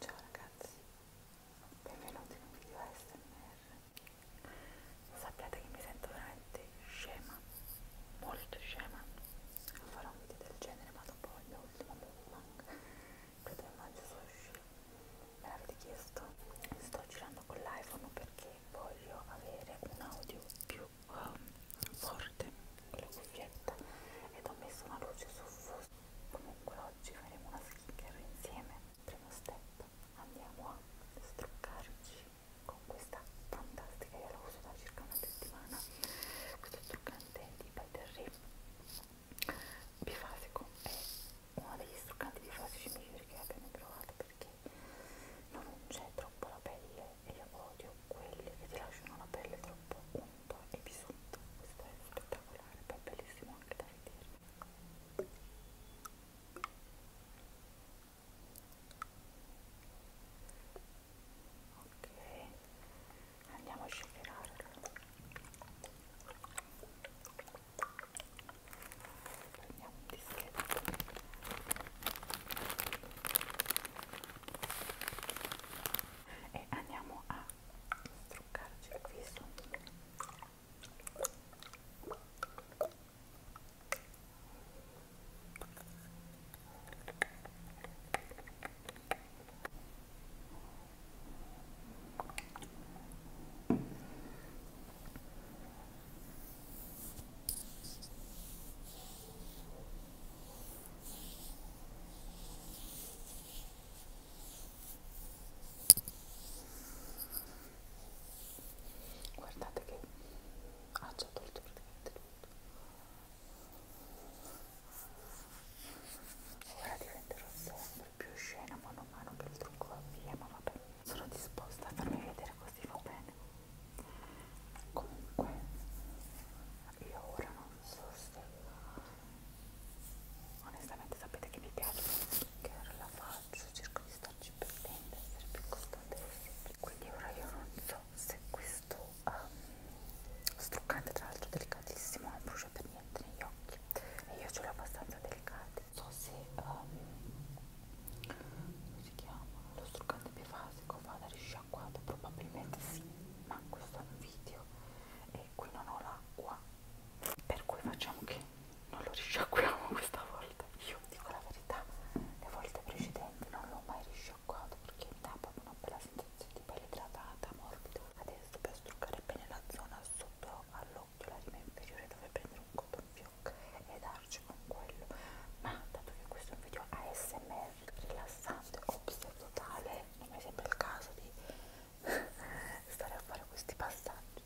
Ciao ragazzi, benvenuti in un video ASMR. Sappiate che mi sento veramente scema, molto scema. Farò un video del genere, ma dopo il mio ultimo mukbang, credo che mangio sushi. Me l'avete chiesto? Sto girando con l'iPhone perché voglio avere un audio più um, forte con la cuffietta ed ho messo una luce soffusa comunque oggi faremo una skincare insieme primo step andiamo a struccarci con questa fantastica io la uso da circa una settimana questo struccante di By Terry bifasico è uno degli struccanti bifasici migliori che abbiamo provato perché non c'è troppo la pelle e io odio quelli che ti lasciano la pelle troppo umida sotto e di sotto questo è spettacolare poi è bellissimo anche da vedere ok andiamo a scegliere prendiamo un dischetto e andiamo a truccarci il viso guardate che ha già tolto praticamente tutto ora diventerò sempre più scena mano a mano che il trucco va via ma vabbè sono disposta a farmi vedere così va bene comunque io ora non so se onestamente sapete che mi piace che ora la faccio cerco di starci per dentro essere più costante possibile quindi ora io non so se questo um, struccante tra l'altro delicatissimo non brucia per niente negli occhi e io ce l'ho abbastanza delicati so se um, si chiama lo struccante bifasico vada risciacquato probabilmente sì ma questo è un video e qui non ho l'acqua per cui facciamo che non lo risciacquiamo questa volta io dico la verità le volte precedenti non l'ho mai risciacquato perché mi dà proprio una bella sensazione di pelle idratata morbida adesso per struccare bene la zona sotto all'occhio la rima inferiore dove prendere un cotton fioc e dare aiutarci con quello ma dato che questo è un video ASMR rilassante o totale non mi sembra il caso di stare a fare questi passaggi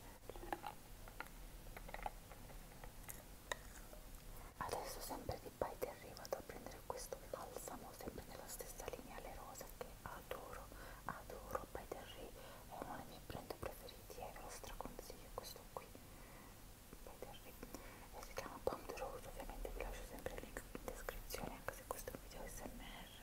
adesso sempre di Bite arrivo a prendere questo balsamo sempre nella stessa linea le rosa che adoro adoro Bite è uno dei miei brand preferiti e ve lo straconsiglio questo qui vedervi e si chiama Pond Rose ovviamente vi lascio sempre il link in descrizione anche se questo è un video smr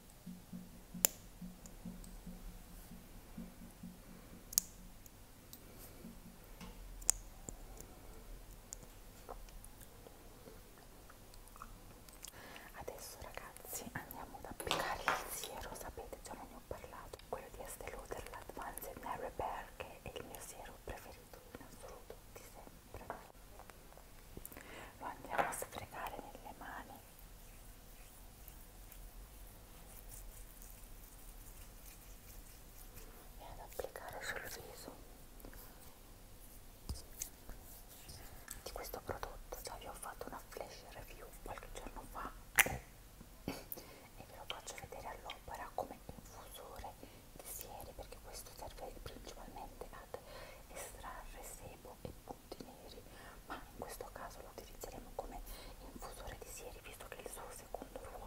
Adesso ragazzi andiamo ad applicare il siero, sapete già non ne ho parlato, quello di Estée Lauder, l'Advanced Nail Repair che è il mio siero preferito in assoluto di sempre lo andiamo a sfregare nelle mani e ad applicare sul viso di questo prodotto già vi ho fatto una flash review qualche giorno fa e ve lo faccio vedere all'opera come infusore di sieri perché questo serve principalmente ad estrarre sebo blu e punti neri ma in questo caso lo utilizzeremo come infusore di sieri visto che è il suo secondo ruolo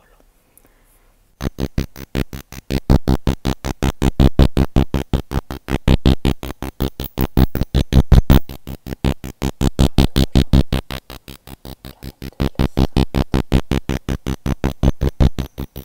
Molto rilassante.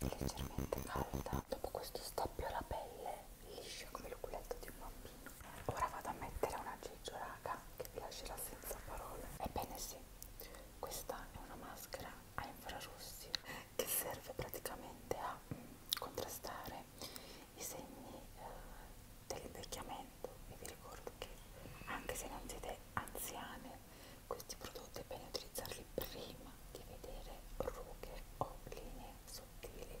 leggermente calda dopo questo stappio la pelle liscia come l'oculetto di un bambino ora vado a mettere una giggioraga che vi lascerà senza parole ebbene sì questa è una maschera a infrarossi che serve praticamente a mm, contrastare i segni eh, dell'invecchiamento e vi ricordo che anche se non siete anziane questi prodotti è bene utilizzarli prima di vedere rughe o linee sottili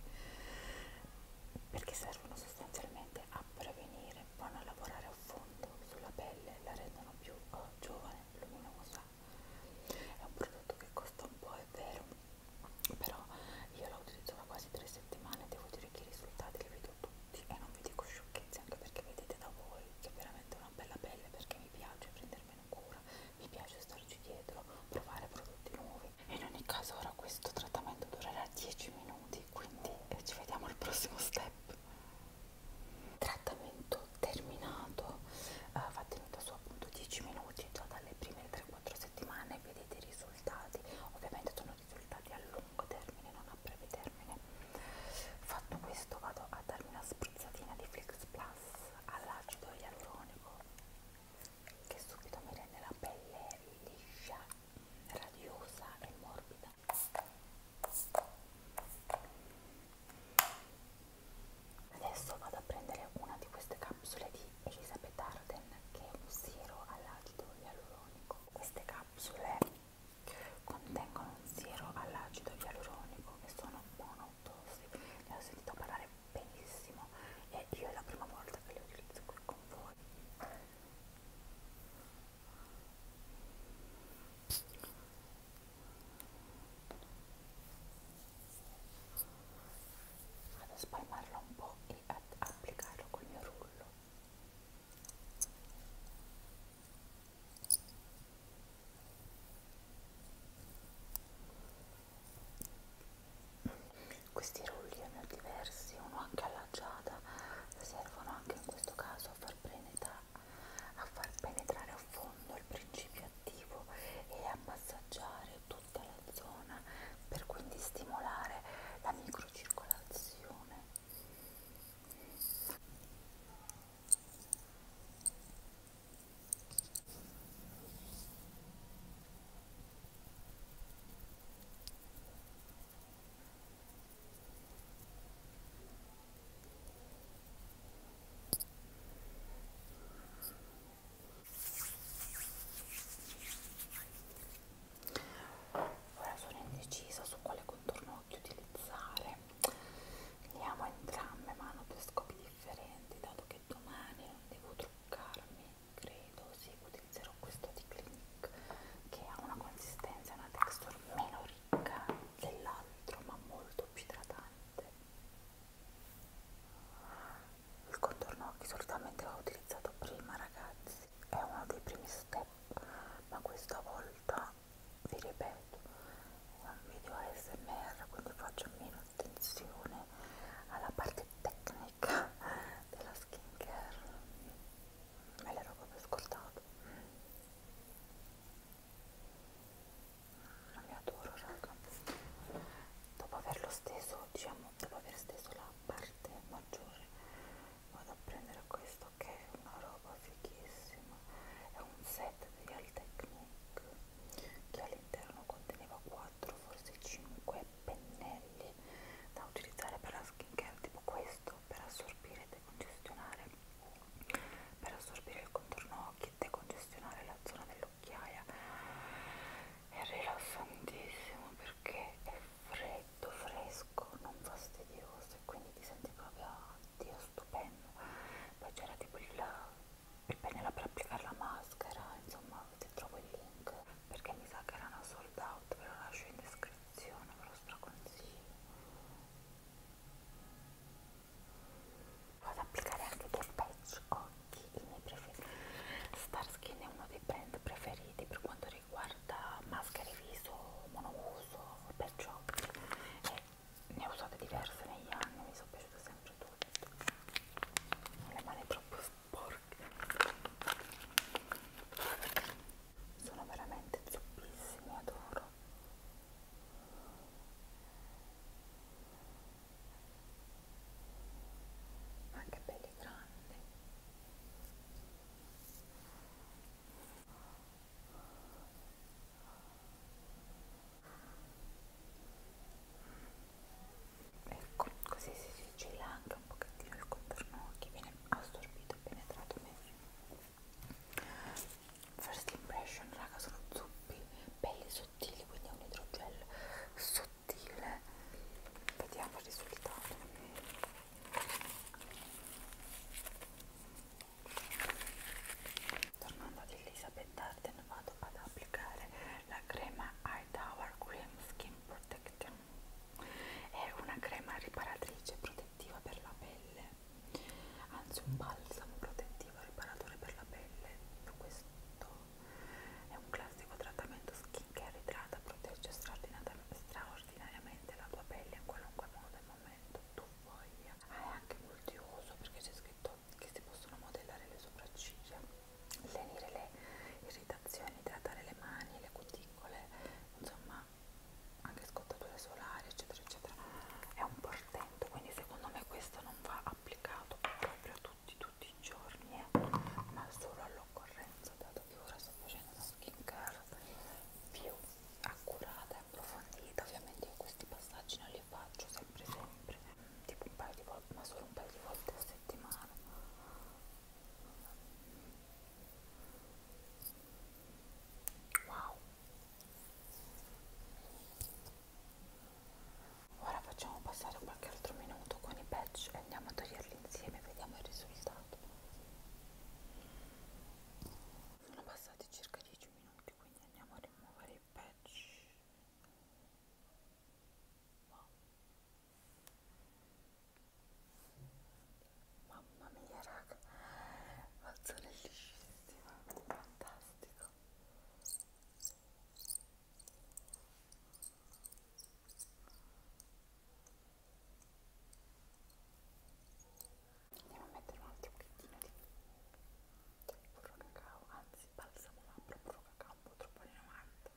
perché servono sostanzialmente a prevenire, vanno a lavorare a fondo sulla pelle, la rendono più oh, giovane, luminosa. È un prodotto che costa un po', è vero, però io la utilizzo da quasi tre settimane, devo dire che i risultati li vedo tutti e non vi dico sciocchezze anche perché vedete da voi che è veramente una bella pelle perché mi piace prendermi meno cura, mi piace starci dietro, provare prodotti nuovi. In ogni caso ora questo trattamento durerà 10 minuti, quindi eh, ci vediamo al prossimo step. Trattamento terminato, eh, va tenuto su appunto 10 minuti, già dalle prime 3-4 settimane vedete i risultati, ovviamente sono risultati a lungo termine, non a breve termine fatto questo vado a darmi una spruzzatina di Flix Plus all'acido ialuronico che subito mi rende la pelle liscia, radiosa e morbida adesso vado a prendere una di queste capsule di Elisabeth Arden che è un siero all'acido ialuronico queste capsule Contengono un siero all'acido ialuronico e sono monotosi. Ne ho sentito parlare benissimo e io è la prima volta che li utilizzo qui con voi. Vado a spalmarlo un po' e ad applicarlo col mio rullo. Questi rulli ne ho diversi, uno anche alla giada, servono anche in questo caso a far, penetra a far penetrare a fondo il principio attivo e a massaggiare tutta la zona per quindi stimolare la microcircolazione. Ora sono indecisa su quale contorno occhio utilizzare Veniamo entrambe mano due scopi differenti, dato che domani non devo truccarmi, credo, sì, utilizzerò questo di Clinique che ha una consistenza e una texture meno ricca dell'altro, ma molto più idratante. Il contorno che solitamente ho utilizzato prima, ragazzi, è uno dei primi step, ma questa volta vi ripeto è un video ASMR quindi faccio meno attenzione alla parte tecnica della skincare me l'ero proprio scordato non mm, mi adoro raga dopo averlo steso diciamo dopo aver steso la parte maggiore vado a prendere questo che è una roba fighissima è un set di Al Technique che all'interno conteneva 4 forse 5 pennelli da utilizzare per la skincare tipo questo per assorbire e decongestionare per assorbire il contorno occhi decongestionare la zona dell'occhiaia è rilassantissimo perché è freddo, fresco, non fastidioso e quindi ti senti proprio, oddio, stupendo. Poi c'era tipo il, il pennello per applicare la maschera, insomma ti trovo il link perché mi sa che erano sold out, ve lo lascio in descrizione, ve lo straconsiglio. Vado ad applicare anche del patch occhi, i miei preferiti. Starskin è uno dei brand preferiti per quanto riguarda riguarda maschere viso monouso, perciò eh, ne ho usate diverse negli anni, mi sono piaciute sempre tutte, ho le mani troppo sporche, sono veramente zuppissimi, adoro. Ma che belli grandi ecco così si sigilla anche un pochettino il contorno che viene assorbito e penetrato meglio first impression raga sono zuppi belli sottili quindi è un idrogel sottile sottile vediamo il risultato tornando ad Elizabeth Arden vado ad applicare la crema Hightower Cream Skin Protection è una crema riparatrice protettiva per la pelle anzi un balsamo protettivo riparatore per la pelle questo è un classico trattamento skin skincare idrata protegge straordinariamente la tua pelle in qualunque modo e momento tu voglia. Ah, è anche multiuso perché c'è scritto che si possono modellare le sopracciglia, lenire le irritazioni, idratare le mani, le cuticole, insomma anche scottature solari, eccetera, eccetera. È un portento, quindi secondo me questo non va applicato proprio a tutti, tutti i giorni eh, ma solo all'occorrenza dato che ora sto facendo una skincare più accurata e approfondita ovviamente io questi passaggi non li faccio sempre sempre tipo un paio di volte ma solo un paio di volte a settimana wow ora facciamo passare qualche altro minuto con i patch e andiamo a toglierli insieme e vediamo il risultato sono passati circa 10 minuti quindi andiamo a rimuovere i patch mamma mia raga mazzone liscissima fantastico Andiamo a mettere un altro pochettino di burro cacao, anzi balsamo labbra, burro cacao un po' troppo di 90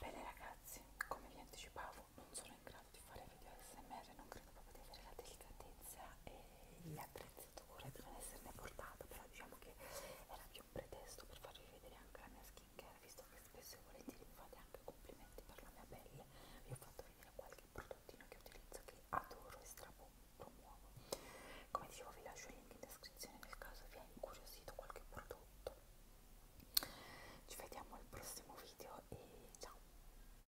Bene ragazzi, come vi anticipavo non sono in grado di fare video ASMR, non credo proprio di avere la delicatezza e l'attrezzatura, dove esserne portata, però diciamo che era più un pretesto per farvi vedere anche la mia skincare, visto che spesso e volentieri mi fate anche complimenti per la mia pelle, vi ho fatto vedere qualche prodottino che utilizzo che adoro e strapromuovo. Come dicevo vi lascio il link in descrizione nel caso vi è incuriosito qualche prodotto. Ci vediamo al prossimo video e ciao!